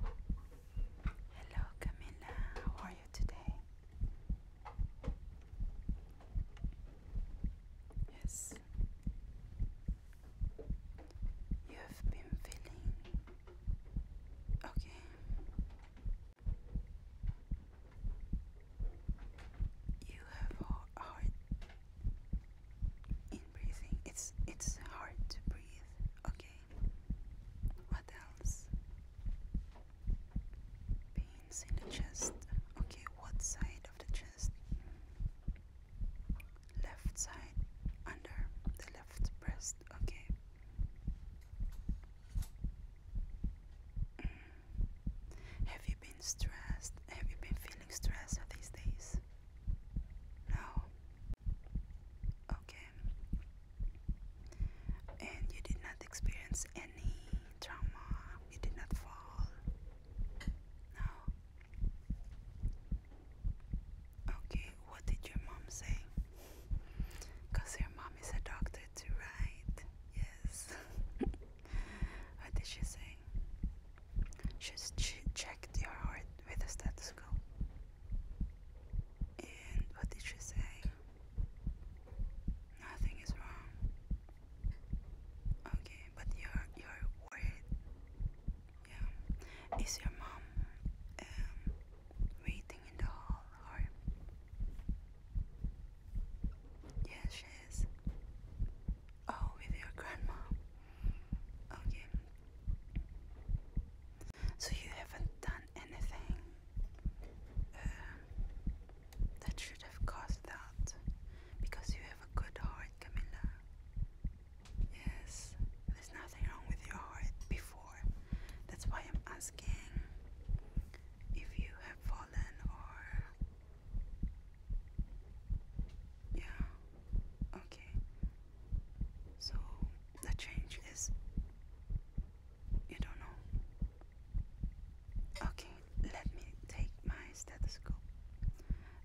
Hello Camilla, how are you today? Yes, you have been feeling okay. You have a hard in breathing. It's it's hard to breathe. Okay. What else? Pains in the chest. Okay, what side of the chest? Left side under the left breast. Okay. Mm. Have you been stressed? Have you been feeling stressed these days? No. Okay. And you did not experience any trauma. You did not fall. No. Okay, what did your mom say? Because your mom is a doctor right? Yes. What did she say? Just she checked your heart with a stethoscope. And what did she say? Nothing is wrong. Okay, but you're you're worried. Yeah. Is your mom um, waiting in the hall or Yes, she is. Oh, with your grandma. Okay. So you haven't done anything um, that should have caused that because you have a good heart, Camilla. Yes, there's nothing wrong with your heart before. That's why I'm asking if you have fallen or yeah, okay. So the change is you don't know. Okay, let me take my stethoscope.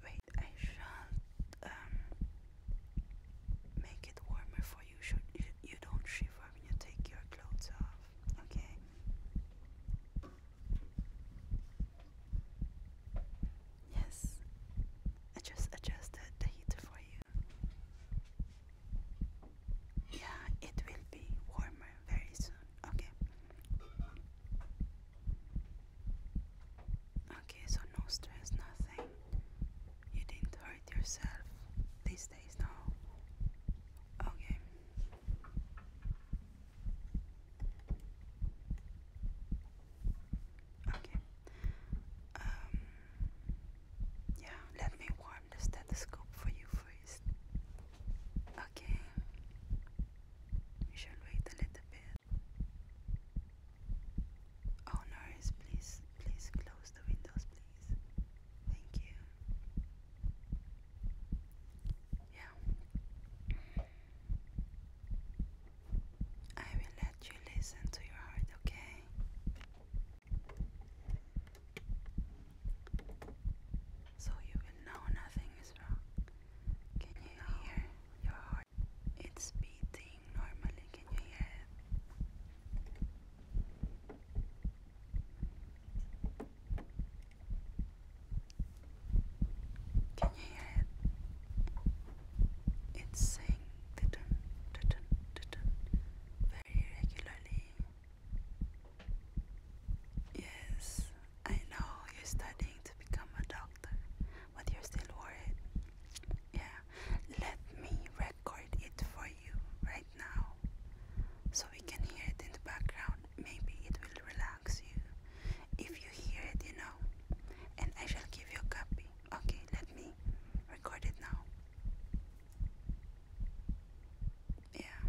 Wait, I shall um make it warmer for you. Should you, don't shiver when you take your clothes off? Okay. Yes, I just adjusted the heat for you. Yeah, it will be warmer very soon. Okay. Okay, so no stress, nothing. You didn't hurt yourself these days, no? Okay. Okay. Um, yeah, let me warm the stethoscope for you first. Okay. You shall wait a little bit. Oh, nurse, please, please close the windows, please. Thank you. Yeah. I will let you listen to your heart, okay? So you will know nothing is wrong. Can you hear your heart? It's beating normally. Can you hear can you hear it? It's saying titun, titun, titun very regularly. Yes, I know you're studying to become a doctor, but you're still worried. Yeah, let me record it for right now. So we can hear it in the background. Maybe it will relax you if you hear it, you know. And I shall give you a copy. Okay, let me record it now. Yeah.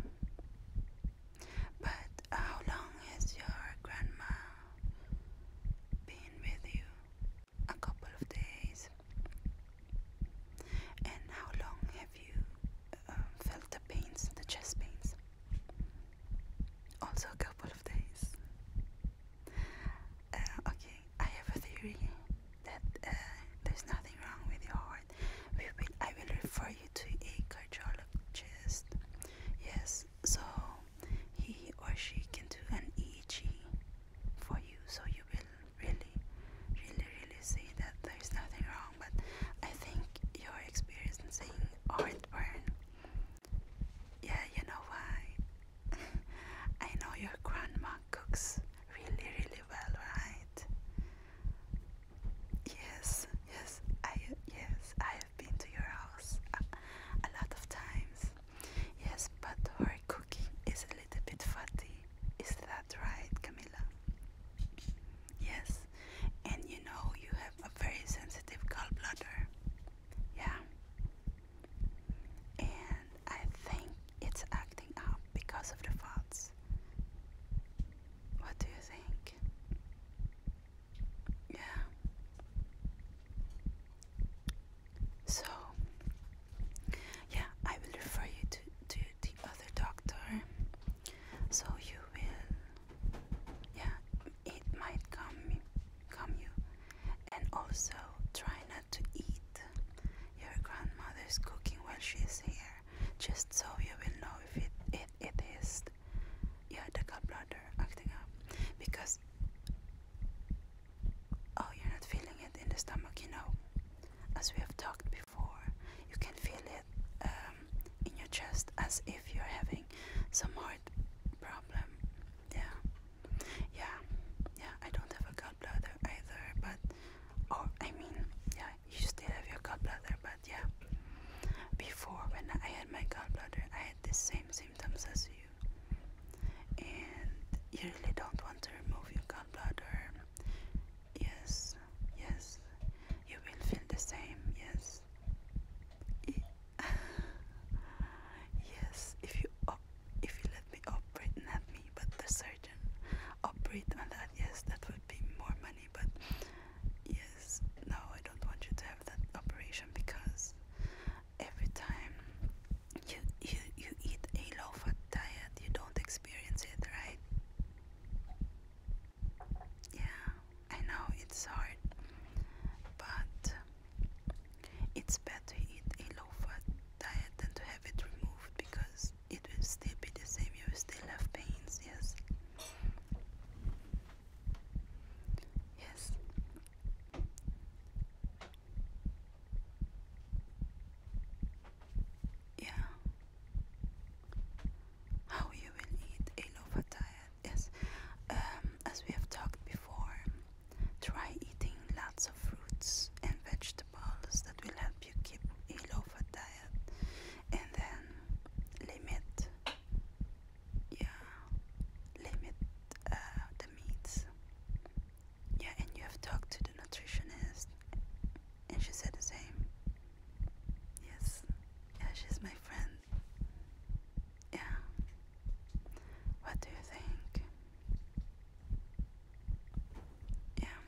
But how long has your grandma been with you? a couple of days. And how long have you um, felt the pains, the chest pains? Also, a couple of days. Uh, okay, I have a theory that uh, there's nothing wrong with your heart. I will refer you to a cardiologist. Yes, so he or she can do an EEG for you so you will really really really see that there's nothing wrong but I think you're experiencing heartburn yeah you know why I know your grandma cooks really really well right yes yes I yes I have been to your house a, a lot of times Yes, but her cooking is a little bit fatty. Is that right, Camilla? Yes, and you know you have a very sensitive gallbladder. Yeah. And I think it's acting up because of the fats. What do you think? Yeah. So, yeah, I will refer you to, to the other doctor. So you will, yeah, it might come, come you. And also try not to eat your grandmother's cooking while she's here, just so you will know if it, it, it is yeah the gallbladder acting up because oh you're not feeling it in the stomach you know as we have talked before you can feel it um, in your chest as if you're having some heart problem yeah yeah yeah I don't have a gallbladder either but or oh, I mean yeah you still have your gallbladder but yeah before when I had my gallbladder I had the same symptoms as you and you really don't want to remove your gallbladder yes yes you will feel the same yes yes if you if you let me operate not me but the surgeon operate on that yes that would be more money but yes, no, I don't want you to have that operation because every time you you you eat a low fat diet, you don't experience it, right? Yeah, I know it's hard, but it's better to eat a low fat diet than to have it removed because it will still be the same, you will still have pains, yes. Yes. Yeah. How you will eat a low-fat diet? Yes. Um, as we have talked before, try eating lots of fruits and vegetables that will help you keep a low-fat diet, and then limit yeah limit uh, the meats yeah and you have talked to the nutritionist and she said the same yes yeah she's my friend yeah what do you think yeah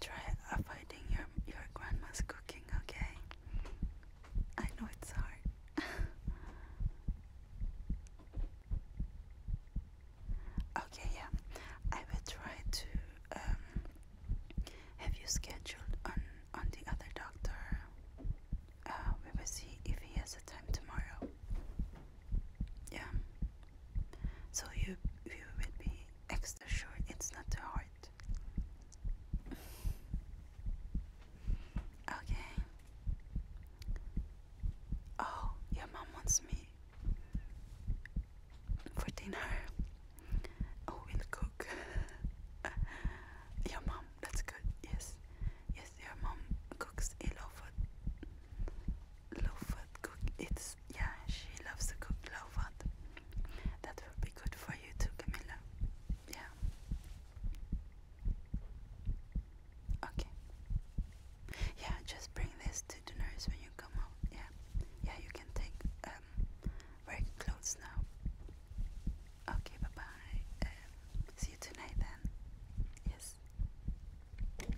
try avoiding your your grandma's cooking, okay? I know it's hard. okay, yeah. I will try to um have you scheduled on on the other doctor. Uh, we will see if he has a time tomorrow. Yeah so you you will be extra sure it's not the heart. Okay. Oh, your mom wants me for dinner. Oh, we'll cook. your mom, that's good. Yes, yes, your mom cooks low food. Low food cook. It's yeah, she loves to cook Love fat. That would be good for you too, Camilla. Yeah. Okay. Yeah, just bring this to the nurse when you come out. Yeah. Yeah, you can take um work clothes now. Okay, bye bye. Um, see you tonight then. Yes.